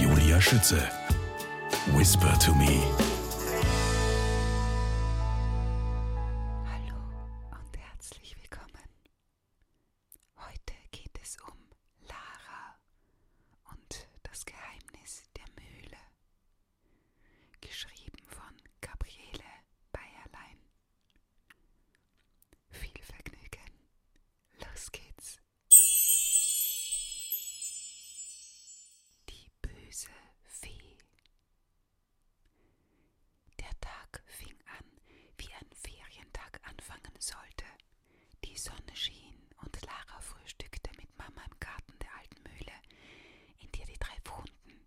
Julia Schütze. Whisper to me. Hallo und herzlich willkommen. Heute geht es um Lara und das Geheimnis der Mühle. Geschrieben von Gabriele Bayerlein. Viel Vergnügen. Los geht's. Die böse Fee. Der Tag fing an, wie ein Ferientag anfangen sollte. Die Sonne schien und Lara frühstückte mit Mama im Garten der alten Mühle, in der die drei wohnten.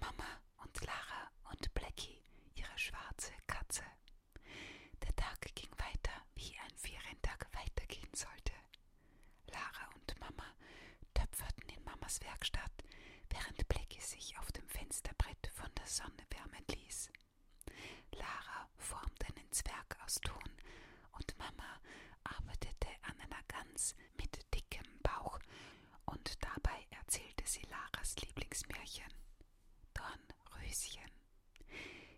Mama und Lara und Blackie, ihre schwarze Katze. Der Tag ging weiter, wie ein Ferientag weitergehen sollte. Lara und Mama töpferten in Mamas Werkstatt, während Blackie sich auf dem Fensterbrett von der Sonne wärmen ließ. Lara formte einen Zwerg aus Ton und Mama arbeitete an einer Gans mit dickem Bauch und dabei erzählte sie Laras Lieblingsmärchen. Dornröschen.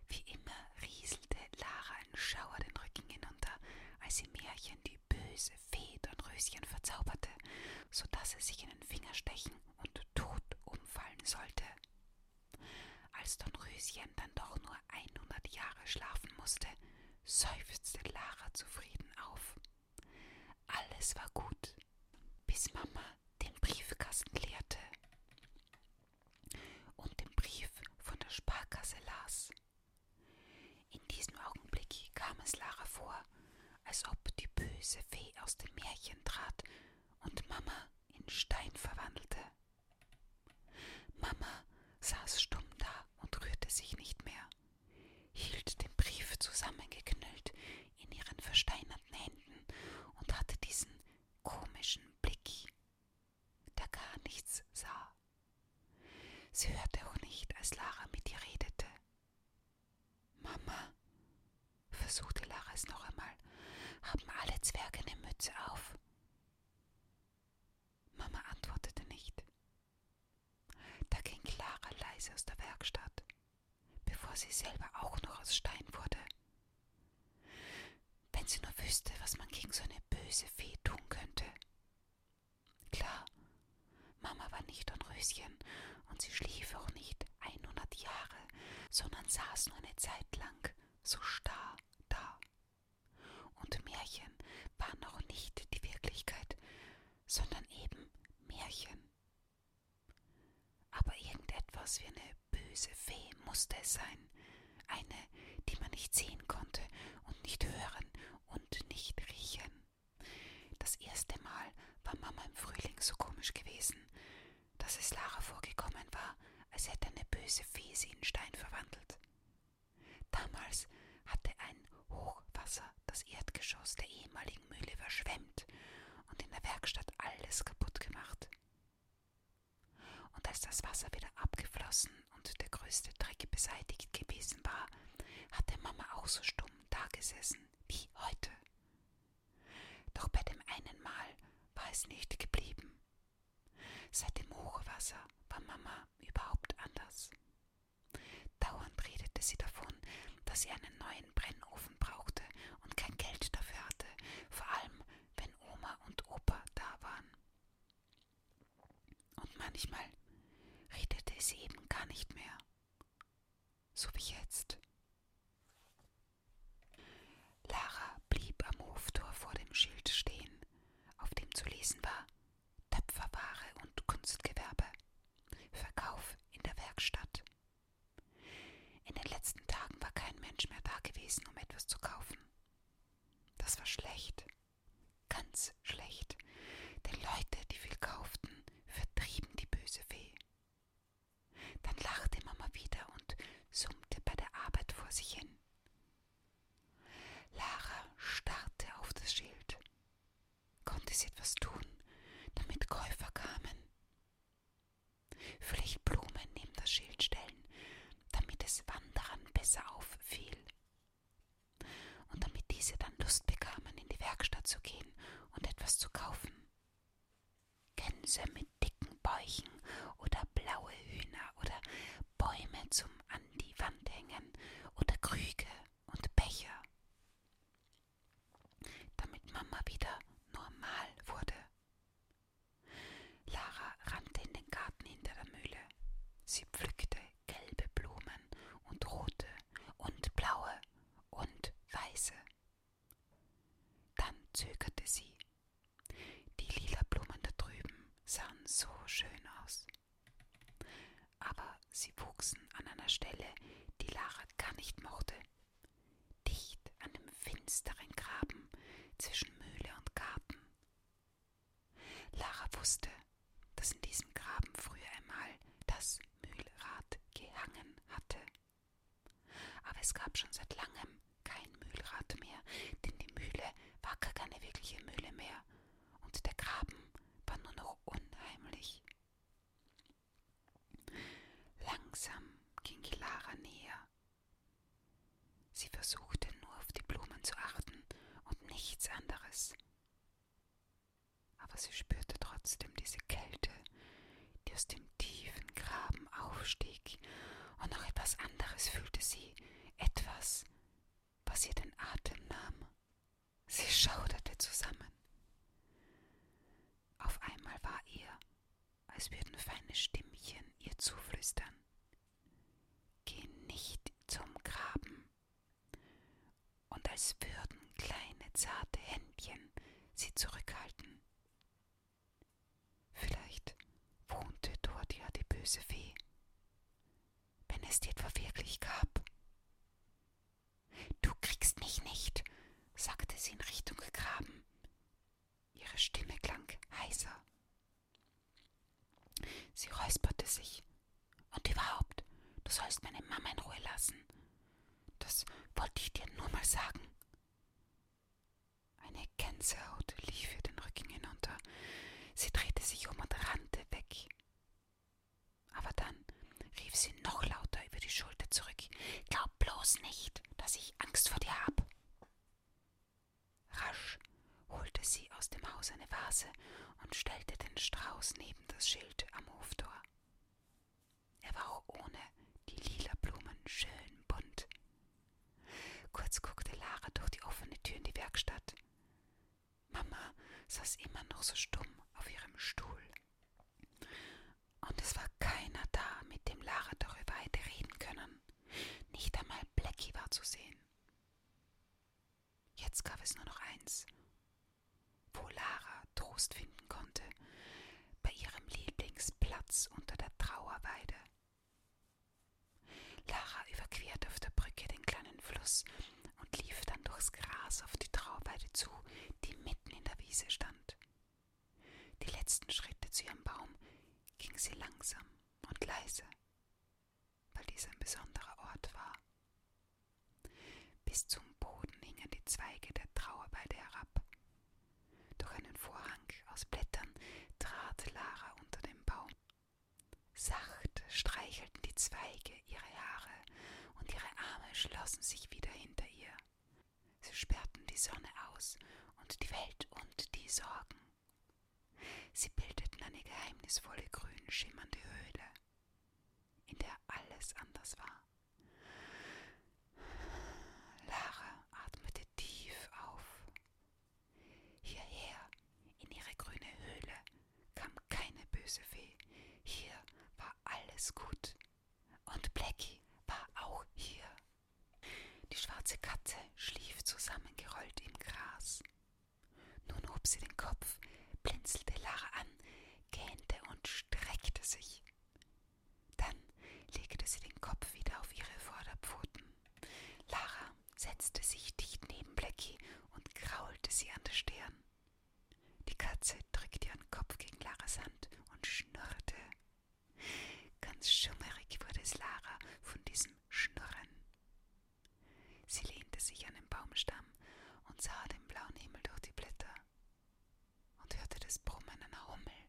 Wie immer rieselte Lara ein Schauer den Rücken hinunter, als im Märchen die böse Fee Dornröschen verzauberte, so daß er sich in den Finger stechen und tot umfallen sollte. Als Dornröschen dann doch nur 100 Jahre schlafen musste, seufzte Lara zufrieden auf. Alles war gut, bis Mama den Briefkasten leerte und den Brief von der Sparkasse las. In diesem Augenblick kam es Lara vor, als ob die böse Fee aus dem Märchen trat und Mama in Stein verwandelte. Mama saß stumm da und rührte sich nicht mehr, hielt den Brief zusammengeknüllt in ihren versteinerten Händen und hatte diesen komischen Blick, der gar nichts sah. Sie hörte auch nicht, als Lara mit ihr redete. Mama, versuchte Lara es noch einmal, haben alle Zwerge eine Mütze auf? Mama antwortete nicht. Da ging Lara leise aus der Werkstatt, bevor sie selber auch noch aus Stein wurde wenn sie nur wüsste, was man gegen so eine böse Fee tun könnte. Klar, Mama war nicht ein Röschen und sie schlief auch nicht 100 Jahre, sondern saß nur eine Zeit lang so starr da. Und Märchen waren auch nicht die Wirklichkeit, sondern eben Märchen. Aber irgendetwas wie eine böse Fee musste es sein, eine, die man nicht sehen konnte und nicht hören und nicht riechen. Das erste Mal war Mama im Frühling so komisch gewesen, dass es Lara vorgekommen war, als hätte eine böse Fee sie in Stein verwandelt. Damals hatte ein Hochwasser das Erdgeschoss der ehemaligen Mühle überschwemmt und in der Werkstatt alles kaputt gemacht. Und als das Wasser wieder abgeflossen und der größte Dreck beseitigt gewesen war, hatte Mama auch so stumm dagesessen wie heute. Doch bei dem einen Mal war es nicht geblieben. Seit dem Hochwasser war Mama überhaupt anders. Dauernd redete sie davon, dass sie einen neuen Brennofen brauchte und kein Geld dafür hatte, vor allem wenn Oma und Opa da waren. Und manchmal redete sie eben gar nicht mehr, so wie jetzt. Lara blieb am Hoftor vor dem Schild stehen, auf dem zu lesen war Töpferware und Kunstgewerbe, Verkauf in der Werkstatt, in den letzten Tagen war kein Mensch mehr da gewesen, um etwas zu kaufen. Das war schlecht, ganz schlecht, denn Leute, die viel kauften, vertrieben die böse Fee. Dann lachte Mama wieder und summte bei der Arbeit vor sich hin. Lara starrte auf das Schild. Konnte sie etwas tun, damit Käufer kamen? Flichtblumen neben das Schild stellen, damit es Wanderern besser auffiel. Und damit diese dann Lust bekamen, in die Werkstatt zu gehen und etwas zu kaufen. Gänse mit dicken Bäuchen oder blaue Hühner oder Bäume zum an die Wand hängen oder Krüge und Becher. Damit Mama wieder normal wurde. Lara rannte in den Garten hinter der Mühle. Sie pflückte gelbe Blumen und rote und blaue und weiße. Dann zögerte sie. Die lila Blumen da drüben sahen so schön aus. Aber sie wuchsen an einer Stelle, die Lara gar nicht mochte, dicht an dem finsteren Graben zwischen Mühle und Garten. Lara wusste, dass in diesem Graben früher einmal das Mühlrad gehangen hatte. Aber es gab schon seit langem kein Mühlrad mehr, denn die Mühle war gar keine wirkliche Mühle mehr und der Graben war nur noch unheimlich. Langsam ging Lara näher Sie versuchte nur auf die Blumen zu achten und nichts anderes. Aber sie spürte trotzdem diese Kälte, die aus dem tiefen Graben aufstieg, und noch etwas anderes fühlte sie, etwas, was ihr den Atem nahm. Sie schauderte zusammen. Auf einmal war ihr, als würden feine Stimmchen ihr zuflüstern. Geh nicht zum Graben. Und als würden kleine zarte Händchen sie zurückhalten. Vielleicht wohnte dort ja die böse Fee, wenn es die etwa wirklich gab. Du kriegst mich nicht, sagte sie in Richtung Graben. Ihre Stimme klang heiser. Sie räusperte sich. Und überhaupt, du sollst meine Mama in Ruhe lassen. Das wollte ich dir nur mal sagen. Eine Gänsehaut lief ihr den Rücken hinunter. Sie drehte sich um und rannte weg. Aber dann rief sie noch lauter über die Schulter zurück. Glaub bloß nicht, dass ich Angst vor dir habe. Rasch holte sie aus dem Haus eine Vase und stellte den Strauß neben das Schild am Hoftor. Er war auch ohne die lila Blumen schön bunt. Kurz guckte Lara durch die offene Tür in die Werkstatt. Mama saß immer noch so stumm auf ihrem Stuhl und es war keiner da, mit dem Lara darüber hätte reden können. Nicht einmal Blackie war zu sehen. Jetzt gab es nur noch eins, wo Lara Trost finden konnte, bei ihrem Lieblingsplatz unter der Trauerweide. Lara überquerte auf der Brücke den kleinen Fluss und lief dann durchs Gras auf die Trauerweide zu, die mitten in der Wiese stand. Die letzten Schritte zu ihrem Baum ging sie langsam und leise, weil dies ein besonderer Ort war. Bis zum Boden hingen die Zweige der Trauerweide herab. Durch einen Vorhang aus Blättern trat Lara unter den Baum. Sacht streichelten die Zweige ihre Haare und ihre Arme schlossen sich wieder hinter ihr, Sie sperrten die Sonne aus und die Welt und die Sorgen. Sie bildeten eine geheimnisvolle grün schimmernde Höhle, in der alles anders war. Lara atmete tief auf. Hierher, in ihre grüne Höhle, kam keine böse Fee. Hier war alles gut. Und Blackie war auch hier. Die schwarze Katze schlief zusammengerollt im Gras. Nun hob sie den Kopf, blinzelte Lara an, gähnte und streckte sich. Dann legte sie den Kopf wieder auf ihre Vorderpfoten. Lara setzte sich dicht neben Blackie und kraulte sie an der Stirn. Die Katze drückte ihren Kopf gegen Laras Hand und schnurrte Ganz schummerig wurde es Lara von diesem Schnurren. Sie lehnte sich an den Baumstamm und sah den blauen Himmel durch die Blätter und hörte das Brummen einer Hummel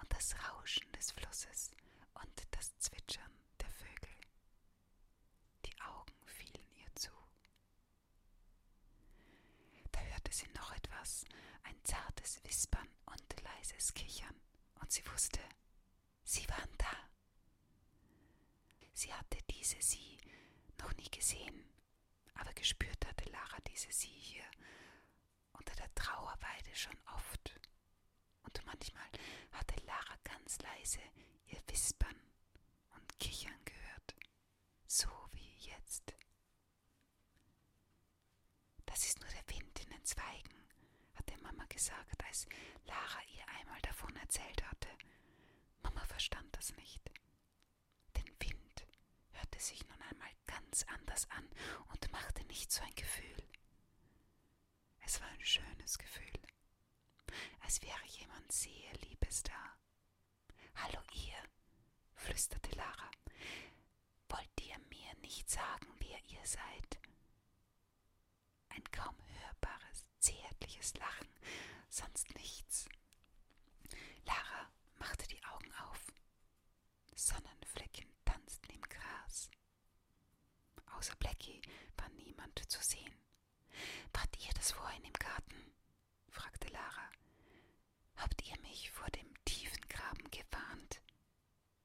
und das Rauschen des Flusses und das Zwitschern der Vögel. Die Augen fielen ihr zu. Da hörte sie noch etwas, ein zartes Wispern Zittern und leises Kichern, und sie wusste, sie waren da. Sie hatte diese Sie noch nie gesehen, aber gespürt hatte Lara diese Sie hier unter der Trauerweide schon oft. Und manchmal hatte Lara ganz leise ihr Wispern und Kichern gehört, so wie jetzt. Das ist nur der Wind in den Zweigen, hatte Mama gesagt, als Lara ihr einmal davon erzählt hatte. Mama verstand das nicht. Den Wind hörte sich nun einmal ganz anders an und machte nicht so ein Gefühl. Es war ein schönes Gefühl, als wäre jemand sehr Liebes da. Hallo ihr, flüsterte Lara. Wollt ihr mir nicht sagen, wer ihr seid? Ein kaum hörbares, zärtliches Lachen, sonst nichts. Lara machte die Augen auf. Sonnenflecken tanzten im Gras. Außer Blackie war niemand zu sehen. Wart ihr das vorhin im Garten? fragte Lara. Habt ihr mich vor dem tiefen Graben gewarnt?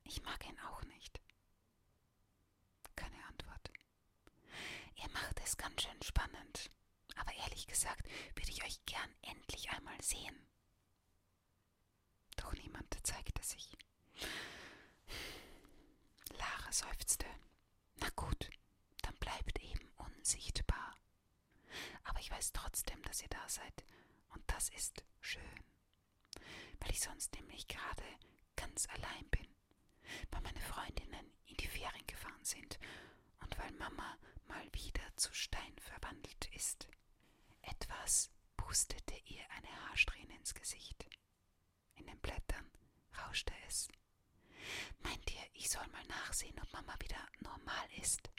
Ich mag ihn auch nicht. Keine Antwort. Ihr macht es ganz schön spannend. Aber ehrlich gesagt würde ich euch gern endlich einmal sehen. Doch niemand zeigte sich. Lara seufzte. Na gut, dann bleibt eben unsichtbar. Aber ich weiß trotzdem, dass ihr da seid und das ist schön, weil ich sonst nämlich gerade ganz allein bin, weil meine Freundinnen in die Ferien gefahren sind und weil Mama mal wieder zu Stein verwandelt ist. Etwas pustete ihr eine Haarsträhne ins Gesicht. In den Blättern rauschte es. Meint ihr, ich soll mal nachsehen, ob Mama wieder normal ist?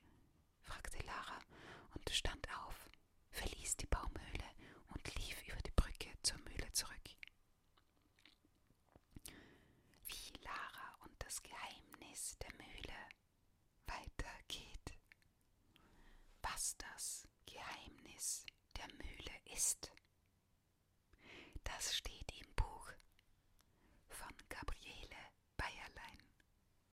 fragte Lara und stand auf, verließ die Baumhöhle und lief über die Brücke zur Mühle zurück. Wie Lara und das Geheimnis der Mühle weitergeht. Was das Geheimnis der Mühle ist. Das steht im Buch von Gabriele Bayerlein.